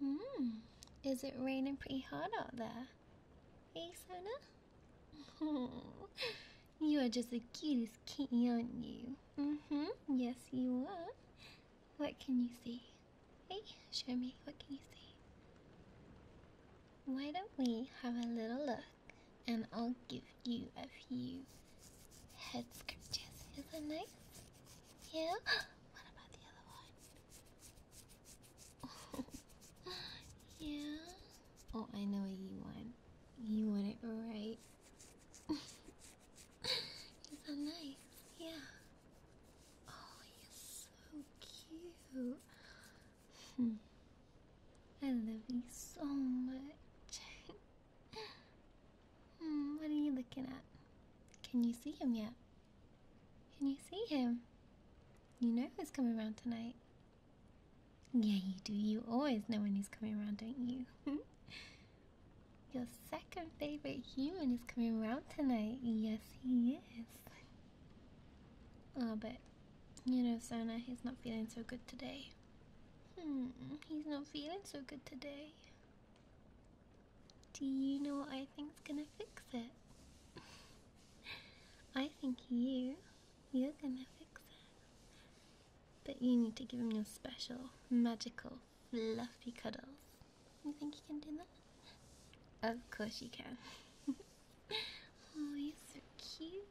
Hmm, is it raining pretty hard out there? Hey, Sona? Oh, you are just the cutest kitty, aren't you? Mm-hmm, yes you are. What can you see? Hey, show me, what can you see? Why don't we have a little look and I'll give you a few head scratches. Is that nice? Yeah? What about the other one? yeah? Oh, I know you want. You want it right. Is that nice? Yeah. Oh, you so cute. Hmm. I love you so much. Hmm, what are you looking at? Can you see him yet? Can you see him? You know who's coming around tonight. Yeah, you do. You always know when he's coming around, don't you? Your second favorite human is coming around tonight. Yes, he is. Oh, but you know, Sona, he's not feeling so good today. Hmm, he's not feeling so good today. Do you know what I think's gonna fix it? I think you, you're gonna fix it. But you need to give him your special, magical, fluffy cuddles. You think you can do that? Of course you can. oh, you so cute.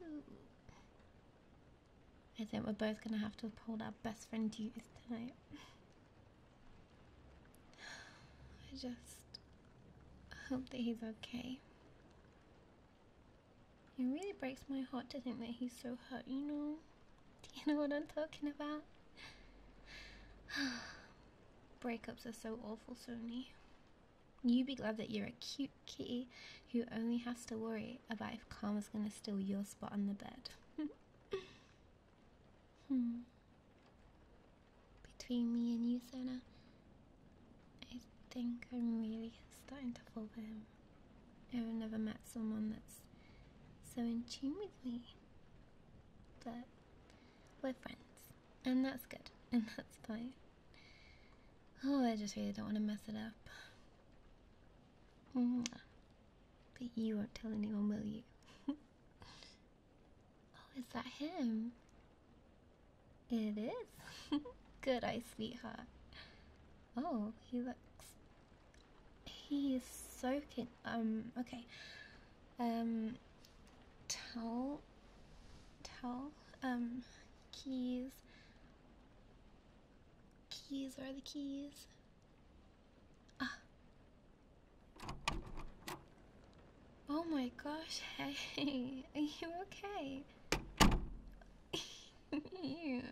I think we're both gonna have to uphold our best friend duties tonight. I just hope that he's okay. It really breaks my heart to think that he's so hurt, you know? Do you know what I'm talking about? Breakups are so awful, Sony. You be glad that you're a cute kitty who only has to worry about if Karma's gonna steal your spot on the bed. hmm. Between me and you, Sona, I think I'm really starting to fall for him. I've never met someone that's so in tune with me. But we're friends and that's good, and that's fine. Oh, I just really don't want to mess it up. But you won't tell anyone, will you? oh, is that him? It is. Good eye, sweetheart. Oh, he looks. He is so kid. Um, okay. Um, tell. Tell. Um, keys. Keys, are the keys? Ah. Oh my gosh, hey, are you okay? yeah.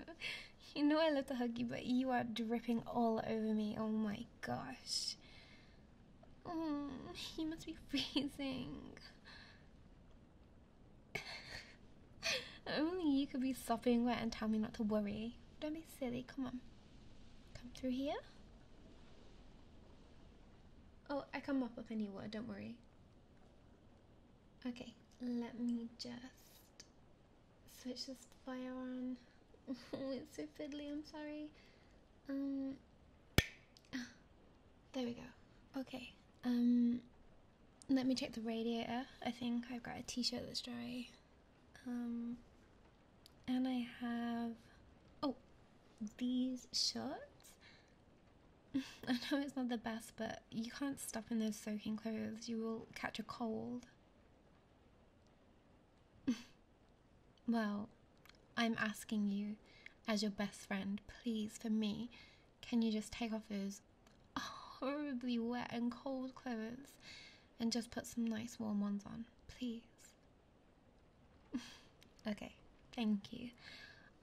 You know I love to hug you, but you are dripping all over me. Oh my gosh. Oh, you must be freezing. Only you could be sopping wet and tell me not to worry. Don't be silly, come on. Come through here. Oh, I come up with any word, don't worry. Okay, let me just switch this fire on. oh, it's so fiddly, I'm sorry. Um, there we go. Okay. Um let me check the radiator. I think I've got a t-shirt that's dry. Um and I have oh these shorts. I know it's not the best, but you can't stop in those soaking clothes. You will catch a cold. Well, I'm asking you, as your best friend, please, for me, can you just take off those horribly wet and cold clothes and just put some nice warm ones on, please? okay, thank you.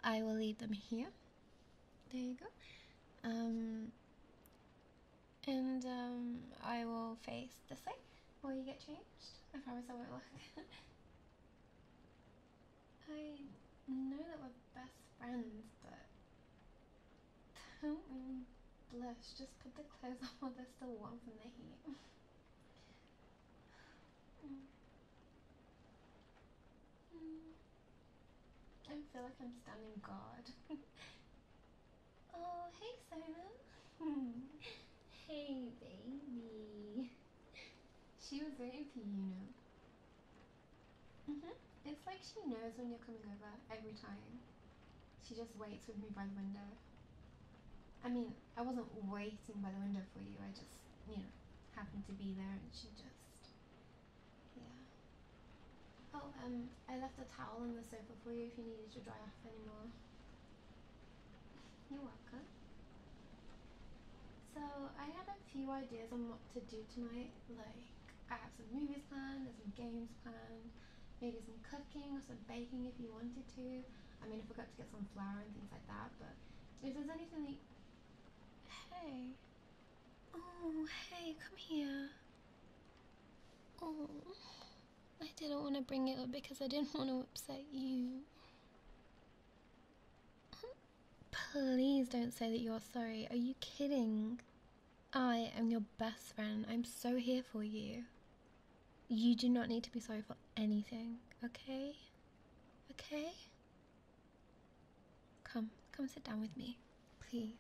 I will leave them here. There you go. Um, and um, I will face this way while you get changed. I promise I won't look. I know that we're best friends, but don't blush. Just put the clothes on while they're still warm from the heat. Mm. I feel like I'm standing guard. oh, hey Simon. hey, baby she was waiting for you, you know. -hmm. It's like she knows when you're coming over every time. She just waits with me by the window. I mean, I wasn't waiting by the window for you, I just, you know, happened to be there and she just. Yeah. Oh, um, I left a towel on the sofa for you if you needed to dry off anymore. You're welcome. So I have a few ideas on what to do tonight. Like I have some movies planned, there's some games planned, maybe some cooking or some baking if you wanted to. I mean, if I got to get some flour and things like that, but if there's anything that Hey. Oh, hey, come here. Oh, I didn't want to bring it up because I didn't want to upset you. Please don't say that you're sorry. Are you kidding? I am your best friend. I'm so here for you. You do not need to be sorry for anything, okay? Okay? Come, come sit down with me, please.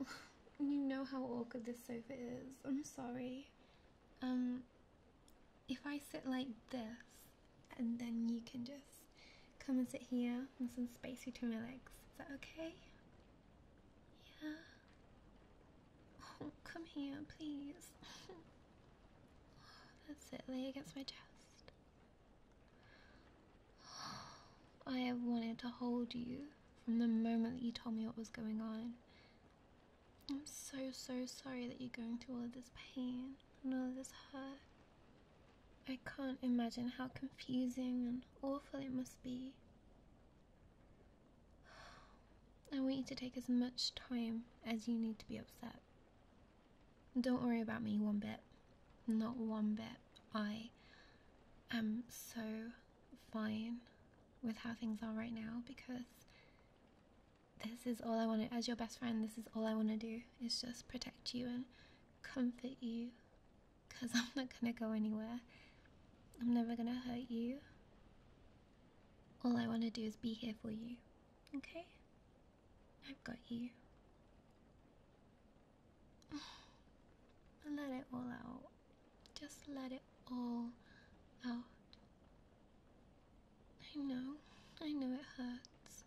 you know how awkward this sofa is. I'm sorry um if I sit like this and then you can just come and sit here and some space between my legs. Is that okay? Yeah. Oh, come here, please. Oh, that's it, lay against my chest. I have wanted to hold you from the moment that you told me what was going on. I'm so, so sorry that you're going through all of this pain and all of this hurt. I can't imagine how confusing and awful it must be. I want you to take as much time as you need to be upset. Don't worry about me one bit. Not one bit. I am so fine with how things are right now because this is all I want to, as your best friend, this is all I want to do is just protect you and comfort you because I'm not going to go anywhere. I'm never going to hurt you. All I want to do is be here for you, okay? I've got you. let it all out. Just let it all out. I know, I know it hurts.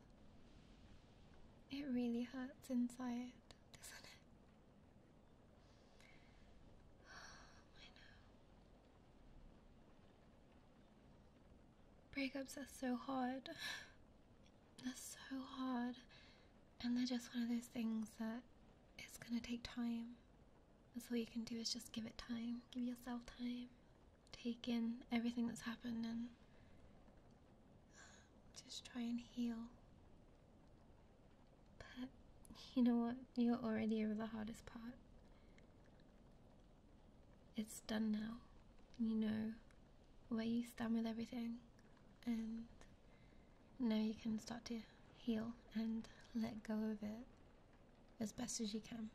It really hurts inside, doesn't it? I know. Breakups are so hard. They're so hard. And they're just one of those things that it's gonna take time. That's all you can do is just give it time, give yourself time, take in everything that's happened, and just try and heal. But you know what? You're already over the hardest part. It's done now. You know where you stand with everything, and now you can start to heal and let go of it as best as you can.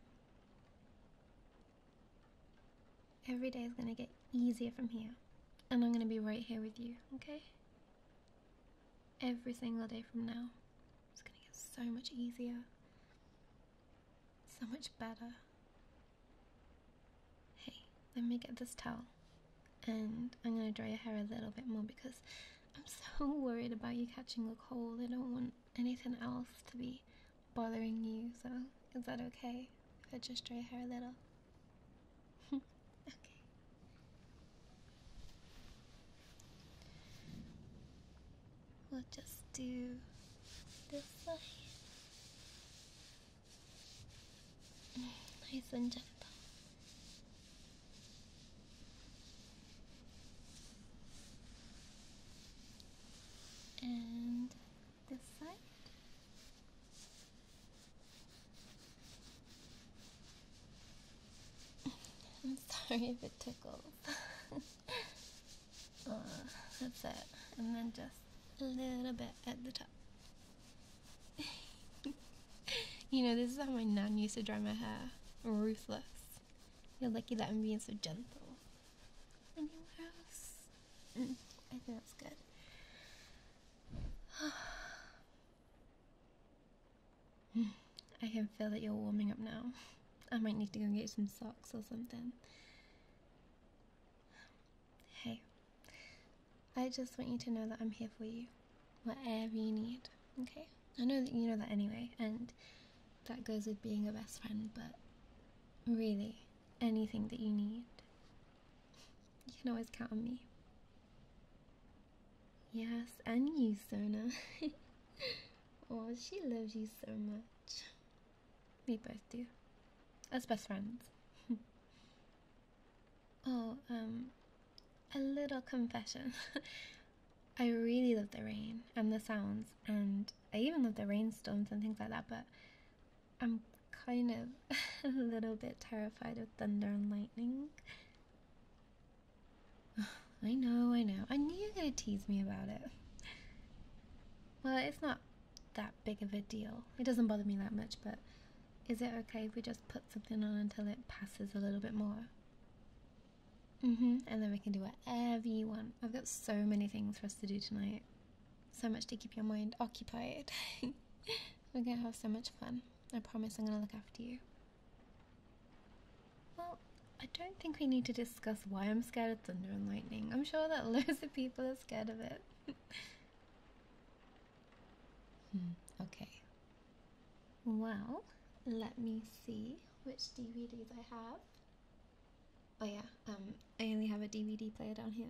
Every day is going to get easier from here, and I'm going to be right here with you, okay? Every single day from now, it's going to get so much easier, so much better. Hey, let me get this towel, and I'm going to dry your hair a little bit more because I'm so worried about you catching a cold. I don't want anything else to be bothering you. So, is that okay if I just dry her a little? okay. We'll just do this side. Mm, nice and gentle and this side. I'm sorry if it tickles. Uh, that's it. And then just a little bit at the top. you know, this is how my nan used to dry my hair. Ruthless. You're lucky that I'm being so gentle. Anywhere else? Mm, I think that's good. I can feel that you're warming up now. I might need to go get some socks or something. Hey, I just want you to know that I'm here for you whatever you need. Okay, I know that you know that anyway, and that goes with being a best friend, but really, anything that you need, you can always count on me. Yes, and you, Sona. oh, she loves you so much. We both do. As best friends. Oh, um, a little confession. I really love the rain and the sounds, and I even love the rainstorms and things like that, but I'm kind of a little bit terrified of thunder and lightning. I know, I know. I knew you were going to tease me about it. Well, it's not that big of a deal. It doesn't bother me that much, but is it okay if we just put something on until it passes a little bit more? hmm. And then we can do whatever you want. I've got so many things for us to do tonight. So much to keep your mind occupied. We're gonna have so much fun. I promise I'm gonna look after you. Well, I don't think we need to discuss why I'm scared of thunder and lightning. I'm sure that loads of people are scared of it. Hmm, okay. Well, let me see which DVDs I have. Oh yeah, um, I only have a DVD player down here.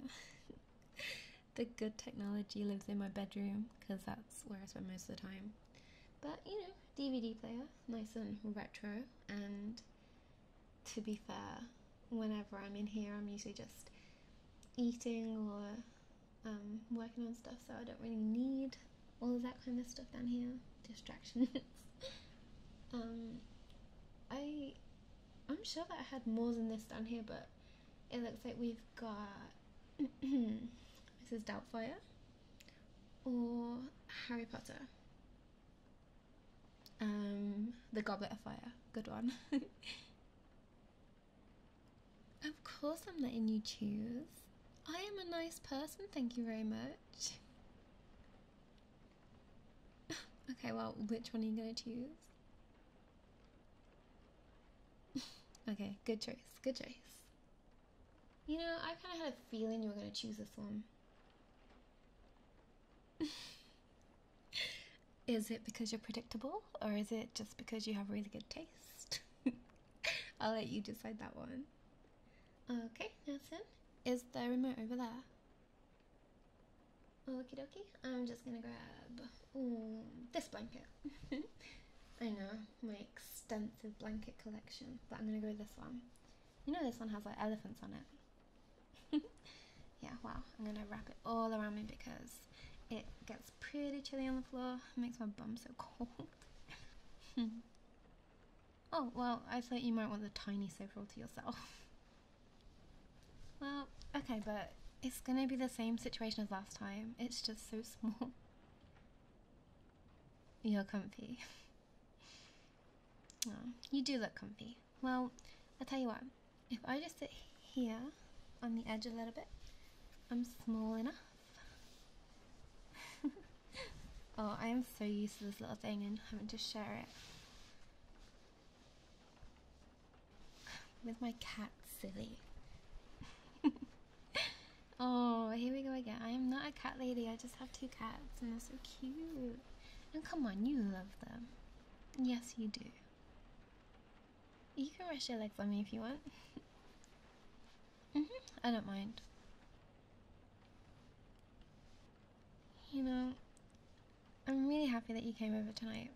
the good technology lives in my bedroom because that's where I spend most of the time. But you know, DVD player, nice and retro. And to be fair, whenever I'm in here, I'm usually just eating or um, working on stuff, so I don't really need all of that kind of stuff down here. Distractions. um, I, I'm sure that I had more than this down here, but it looks like we've got Mrs. Doubtfire or Harry Potter. Um, the Goblet of Fire, good one. Of course, I'm letting you choose. I am a nice person, thank you very much. okay, well, which one are you going to choose? okay, good choice, good choice. You know, I kind of had a feeling you were going to choose this one. Is it because you're predictable? or is it just because you have really good taste? I'll let you decide that one. Okay, Nelson, is the remote over there? Okie dokie, I'm just gonna grab this blanket. I know, my extensive blanket collection, but I'm gonna go with this one. You know, this one has like elephants on it. yeah, wow, I'm gonna wrap it all around me because it gets pretty chilly on the floor. makes my bum so cold. oh, well, I thought you might want the tiny sofa all to yourself. well, okay, but it's gonna be the same situation as last time. It's just so small. You're comfy. Oh, you do look comfy. Well, I'll tell you what, if I just sit here on the edge a little bit, I'm small enough. oh, I am so used to this little thing and having to share it with my cat, silly. oh, here we go again. I am not a cat lady, I just have two cats, and they're so cute. And come on, you love them. Yes, you do. You can rest your legs on me if you want. -hmm. I don't mind. You know, I'm really happy that you came over tonight.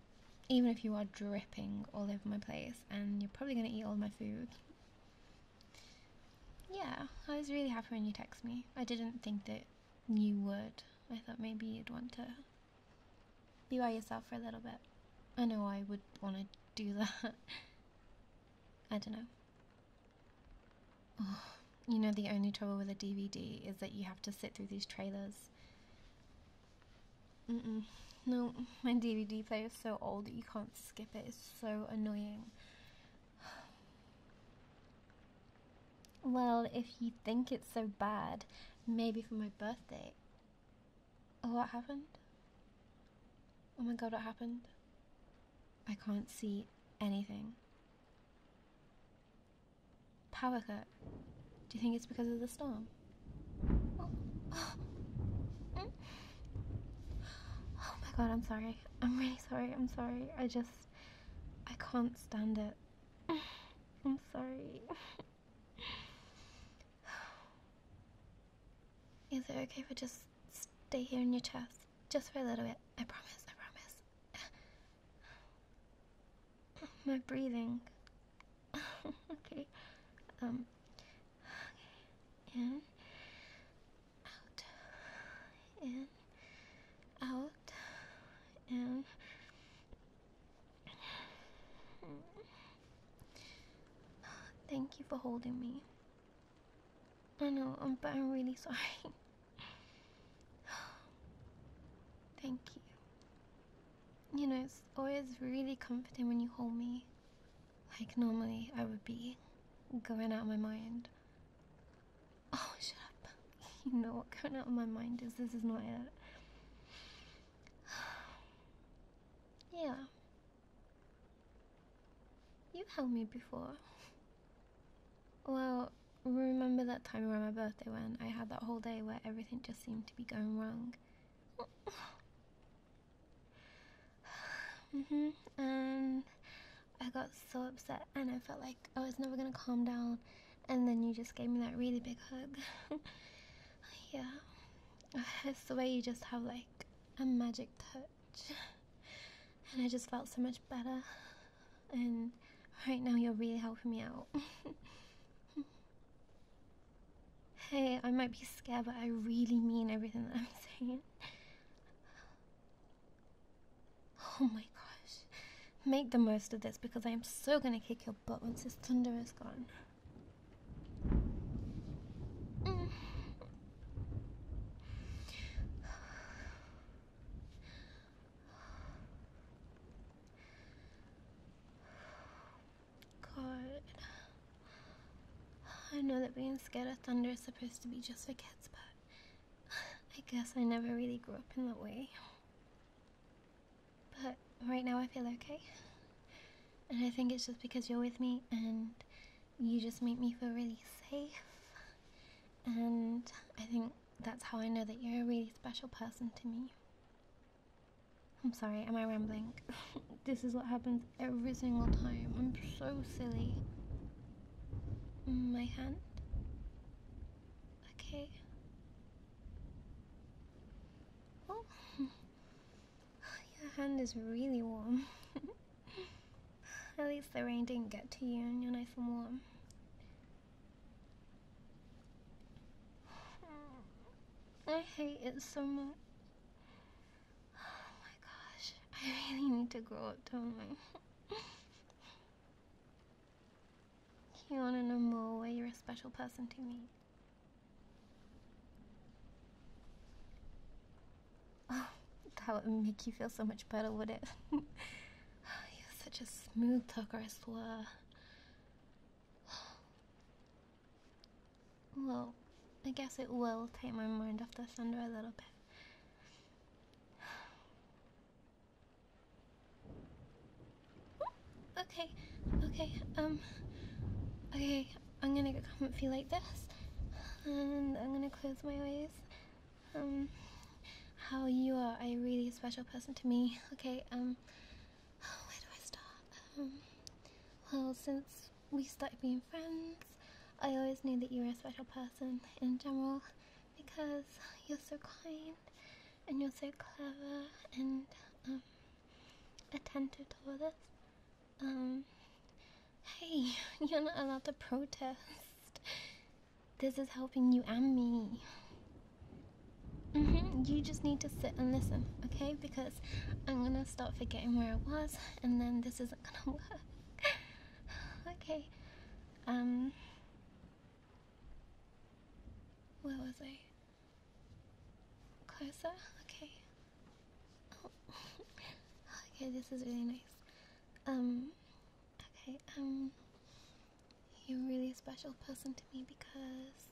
Even if you are dripping all over my place and you're probably going to eat all my food. Yeah, I was really happy when you texted me. I didn't think that you would. I thought maybe you'd want to be by yourself for a little bit. I know I would want to do that. I don't know. you know, the only trouble with a DVD is that you have to sit through these trailers. No, my DVD player is so old that you can't skip it. It's so annoying. Well, if you think it's so bad, maybe for my birthday, Oh, what happened? Oh my god, what happened? I can't see anything. Power cut. Do you think it's because of the storm? Oh, oh my god, I'm sorry. I'm really sorry. I'm sorry. I just. I can't stand it. I'm sorry. Is it okay if I just stay here in your chest? Just for a little bit. I promise, I promise. My breathing. okay. Um. In. Out. In. Out. In. Thank you for holding me. I know, I'm, but I'm really sorry. Thank you. You know, it's always really comforting when you hold me. Like, normally I would be going out of my mind. Oh, shut up. You know what going out of my mind is. This is not it. yeah. You've helped me before. Well, remember that time around my birthday when I had that whole day where everything just seemed to be going wrong? mhm. and I got so upset and I felt like I was never gonna calm down and then you just gave me that really big hug. yeah, it's the way you just have like a magic touch, and I just felt so much better. And right now, you're really helping me out. hey, I might be scared, but I really mean everything that I'm saying. Oh my gosh. Make the most of this because I am so gonna kick your but once this thunder is gone. God. I know that being scared of thunder is supposed to be just for kids, but I guess I never really grew up in that way. But right now I feel okay. And I think it's just because you're with me and you just make me feel really safe. And I think that's how I know that you're a really special person to me. I'm sorry, am I rambling? this is what happens every single time. I'm so silly. Mm, my hand? Okay. Oh, your hand is really warm. At least the rain didn't get to you and you're nice and warm. I hate it so much. Oh my gosh, I really need to grow up, don't I? You want to know more why you're a special person to me? Oh, that would make you feel so much better, would it? you're such a smooth talker, I swear. Well, I guess it will take my mind off the thunder a little bit. Okay, okay, um, okay, I'm gonna go comfy like this, and I'm gonna close my eyes. Um, how you are a really special person to me, okay, um, where do I start? Um, well, since we started being friends, I always knew that you were a special person in general because you're so kind and you're so clever and um, attentive to all this. Um, hey, you're not allowed to protest. This is helping you and me. Mm-hmm. You just need to sit and listen, okay? Because I'm gonna start forgetting where I was, and then this isn't gonna work. okay. Um, where was I? Closer? Okay. Oh. okay, this is really nice. Um, okay, um, you're really a special person to me because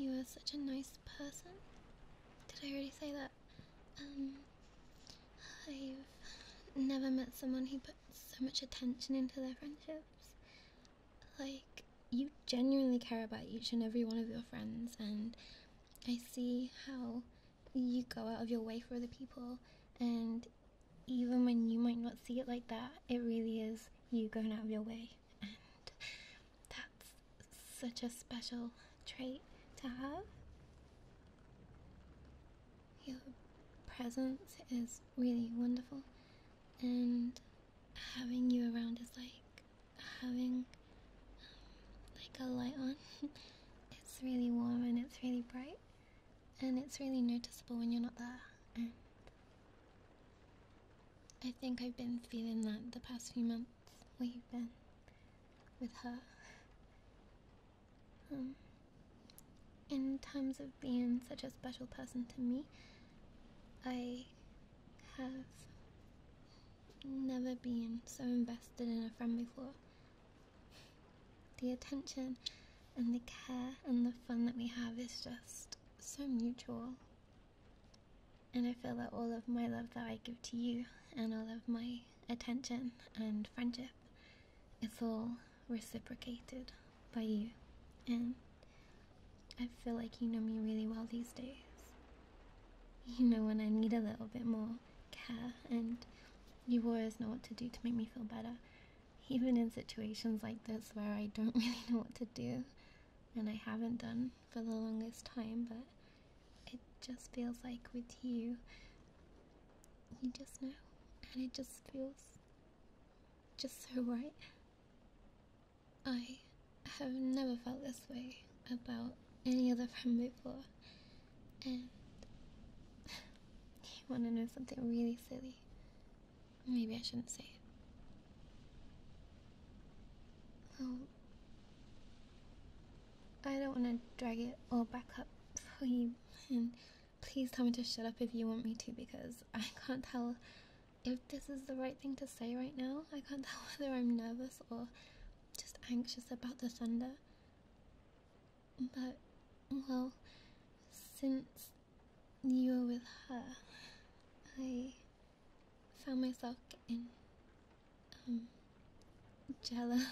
you are such a nice person. Did I already say that? Um, I've never met someone who put so much attention into their friendships. Like, you genuinely care about each and every one of your friends, and I see how you go out of your way for other people, and even when you might not see it like that, it really is you going out of your way, and that's such a special trait to have. Your presence is really wonderful, and having you around is like having um, like a light on. it's really warm and it's really bright, and it's really noticeable when you're not there. I think I've been feeling that the past few months we've been with her. Um, in times of being such a special person to me, I have never been so invested in a friend before. The attention and the care and the fun that we have is just so mutual. And I feel that all of my love that I give to you and all of my attention and friendship it's all reciprocated by you, and I feel like you know me really well these days. You know when I need a little bit more care, and you always know what to do to make me feel better, even in situations like this where I don't really know what to do, and I haven't done for the longest time, but it just feels like with you you just know, and it just feels just so right. I have never felt this way about any other friend before, and you want to know something really silly? Maybe I shouldn't say it. Well, I don't want to drag it all back up for you and Please tell me to shut up if you want me to because I can't tell if this is the right thing to say right now. I can't tell whether I'm nervous or just anxious about the thunder. But, well, since you were with her, I found myself getting um, jealous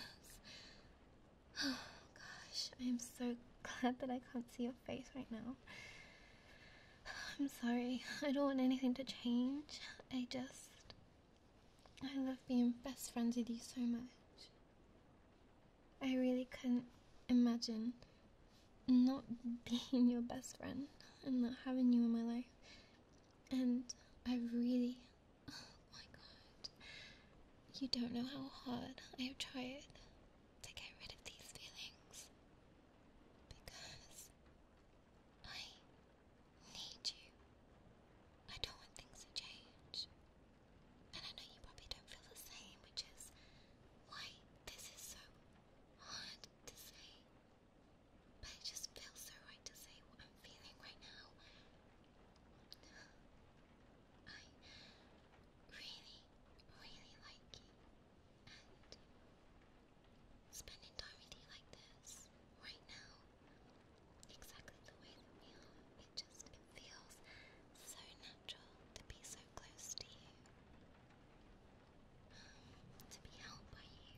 Gosh, I am so glad that I can't see your face right now. I'm sorry. I don't want anything to change. I just. I love being best friends with you so much. I really couldn't imagine not being your best friend and not having you in my life. And I really, Oh my god. You don't know how hard I have tried to get rid of these feelings. Because I need you. I don't want things to change. And I know you probably don't feel the same, which is why this is so hard to say. But it just feels so right to say what I'm feeling right now. I really, really like you. And spending time with you like this, right now, exactly the way that we are, it just feels so natural to be so close to you. to be held by you.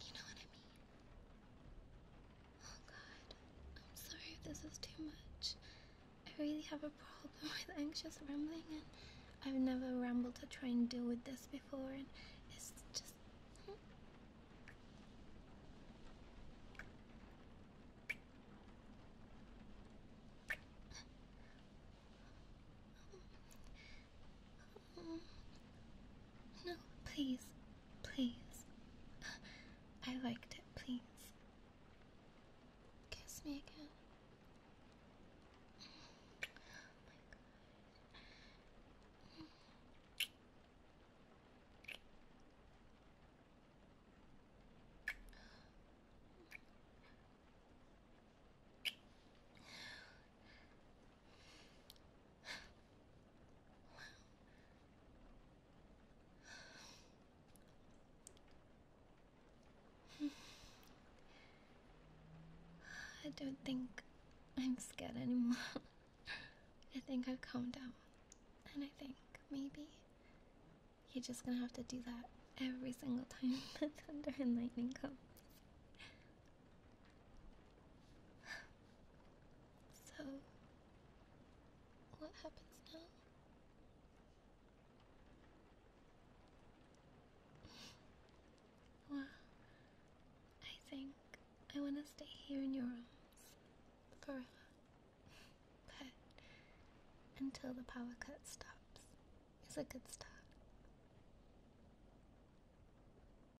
You know what I mean? Oh god, I'm sorry if this is too much. I really have a problem with anxious rambling, and I've never rambled to try and deal with this before, and it's just. Hmm. No, please, please. I liked it, please. Kiss me again. I don't think I'm scared anymore. I think I've calmed down. And I think maybe you're just gonna have to do that every single time the thunder and lightning comes. So, what happens now? Well, I think I want to stay here in your arms forever. but until the power cut stops, is a good start.